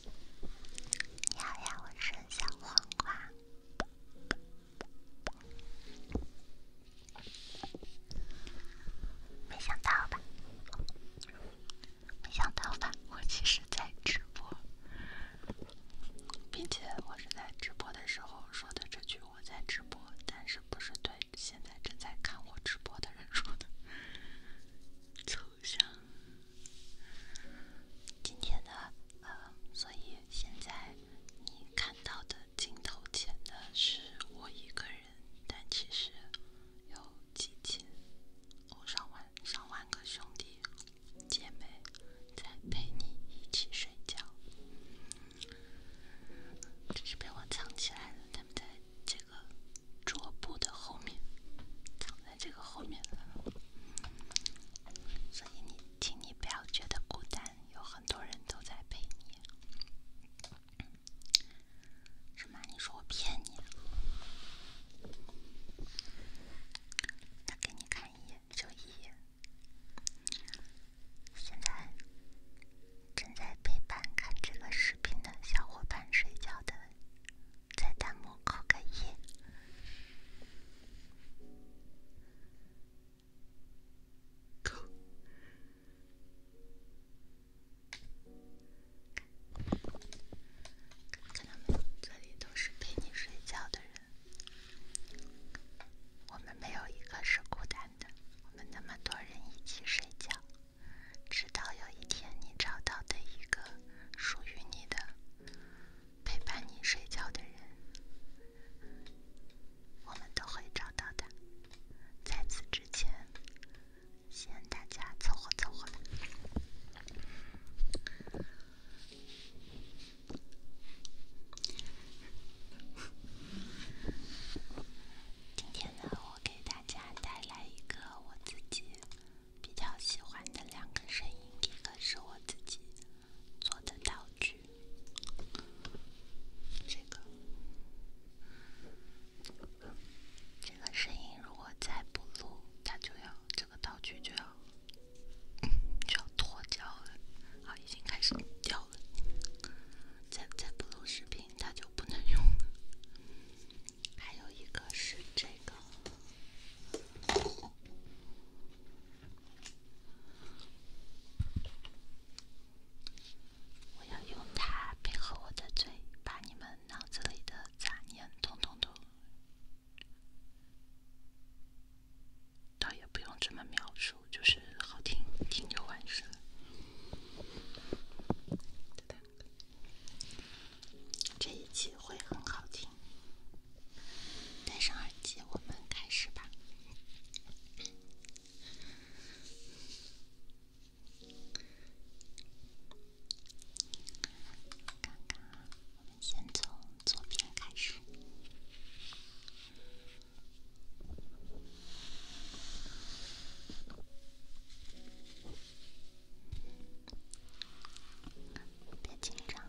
你好呀，我是小黄瓜。没想到吧？没想到吧？我其实在直播，并且我是在直播的时候说的这句“我在直播”，但是不是对现在正在看我直播的人说的。抽象。今天的呃，所以现在你看到的镜头前的是我一个人，但其实有几千、上万、上万个兄弟姐妹在陪你一起睡觉。这是被我藏起来了，他们在这个。桌布的后面，藏在这个后面，的，所以你，请你不要觉得孤单，有很多人都在陪你。什么？你说我骗你？那给你看一眼，就一眼。现在。正在陪伴看这个视频的小伙伴睡觉的，在弹幕扣个一。看到没？这里都是陪你睡觉的人，我们没有一个是孤单的，我们那么多人一起睡觉。直到有一天，你找到的一个属于你的、陪伴你睡觉的人，我们都会找到的。在此之前，先大家凑合凑合吧。今天呢？我给大家带来一个我自己比较喜欢的两个声音，一个是我自己做的道具，这个这个声音如果再不录，它就要这个道具就要就要脱胶了，啊，已经开始掉了，再再不录视频。它就不能用。还有一个是这个，我要用它配合我的嘴，把你们脑子里的杂念统统都……倒也不用这么描述，就是好听，听就完事了。这一期会很好听，戴上耳机，我们开始吧。我们先从左边开始。别紧张，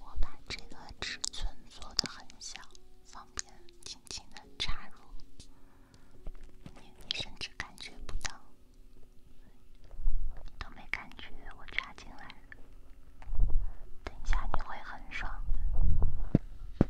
我把这个尺寸做的很小，方便轻轻的插入，你甚至感觉不到，都没感觉我插进来了，等一下你会很爽的。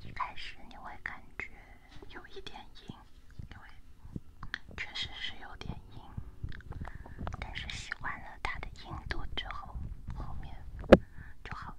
一开始你会感觉有一点硬，因为确实是有点硬，但是习惯了它的硬度之后，后面就好了。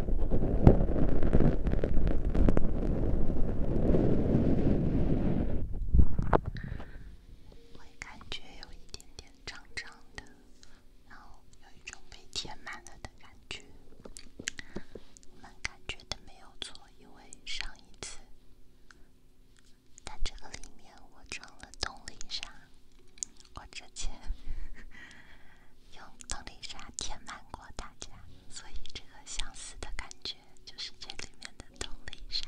我感觉有一点点胀胀的，然后有一种被填满了的感觉。我们感觉的没有错，因为上一次，在这个里面我装了东丽砂，我之前用东丽砂填满过大家。所以，这个相似的感觉，就是这里面的动力上。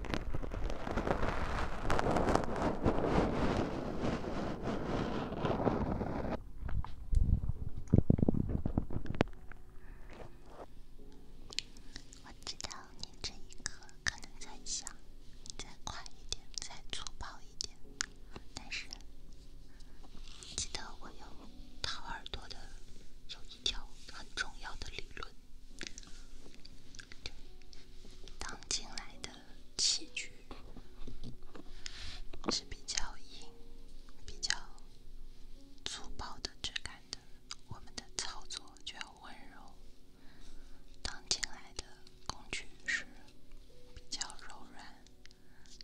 我知道你这一刻可能在想，再快一点，再粗暴一点。但是，记得我有掏耳朵的有一条很重要的理论。当进来的器具是比较硬、比较粗暴的质感的，我们的操作就要温柔；当进来的工具是比较柔软、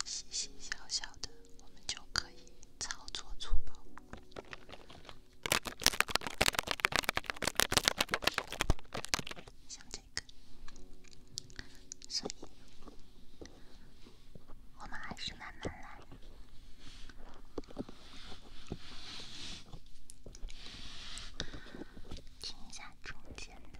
细细小小的，我们就可以操作粗暴。像这个，所以我们还是慢慢来，听一下中间的。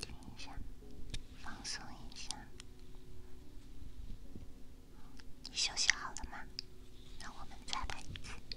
停一下，放松一下。你休息好了吗？那我们再来一次。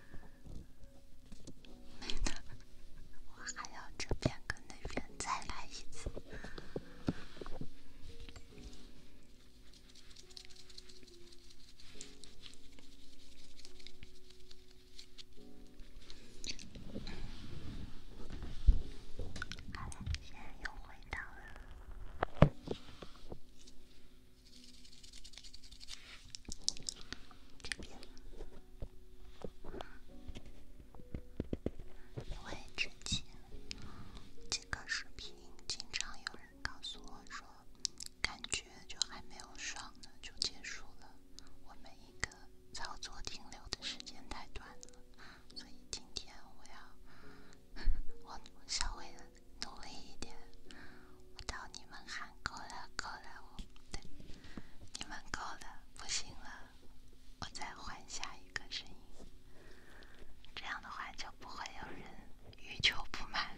没呢，我还要这边跟那边再来一次。好了，现在又回到了。因为之前这个视频经常有人告诉我说，感觉就还没有爽呢就结束了，我每一个操作停留的时间太短了，所以今天我要 我稍微。努力一点，我到你们喊够了，够了，我，不对，你们够了，不行了，我再换下一个声音，这样的话就不会有人欲求不满。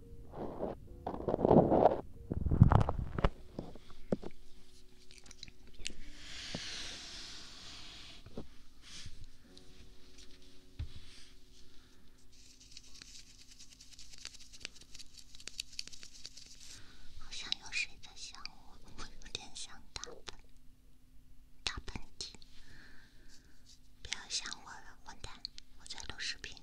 好像有谁在想我，我有点想打打喷嚏。不要想我了，混蛋！我在录视频。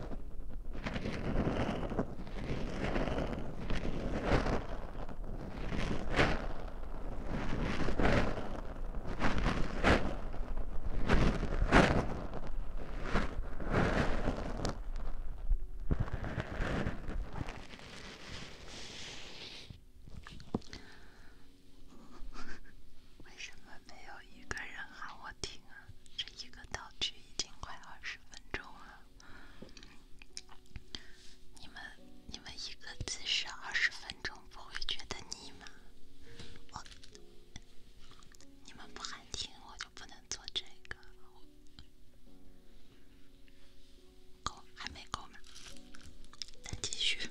为什么没有一个人喊我听？这一个道具已经快二十分钟了，你们你们一个字是二十分钟，不会觉得腻吗？我，你们不喊停，我就不能做这个，够还没够吗？再继续。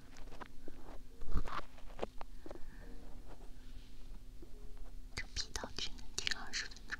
这 P 到只能听二十分钟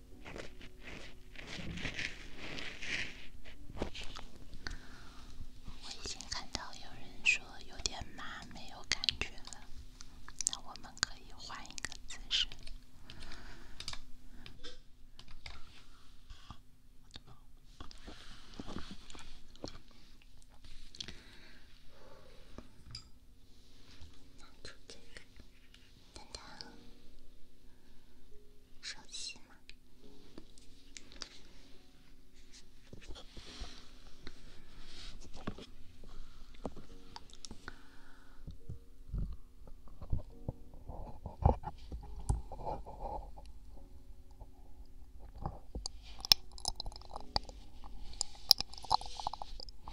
我已经看到有人说有点麻，没有感觉了。那我们可以换一个姿势。拿出这个，等等，熟悉吗？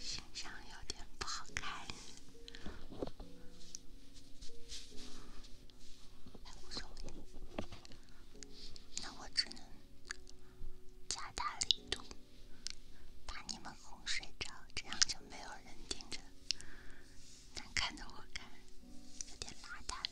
形象有点不好看，还无所谓。那我只能加大力度，把你们哄睡着，这样就没有人盯着，能看着我看，有点邋遢。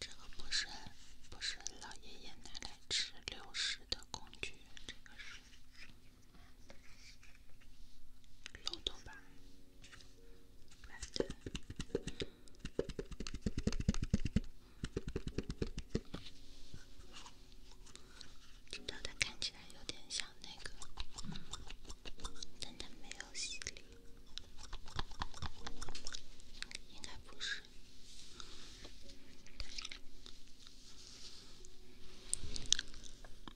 这个不是，不是老爷爷奶奶吃零食的工具，这个是漏斗吧？知道它看起来有点像那个，但它没有犀利，应该不是。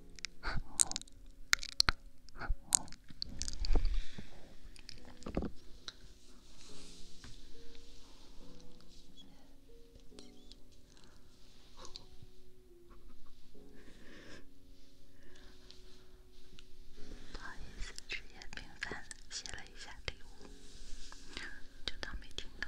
不好意思，职业病犯了，写了一下礼物，就当没听到。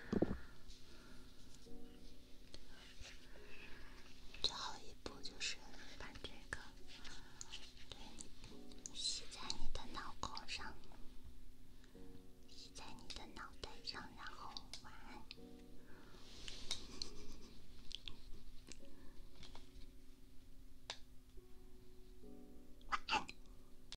最后一步就是把这个，对，吸在你的脑孔上，吸在你的脑袋上，然后晚安。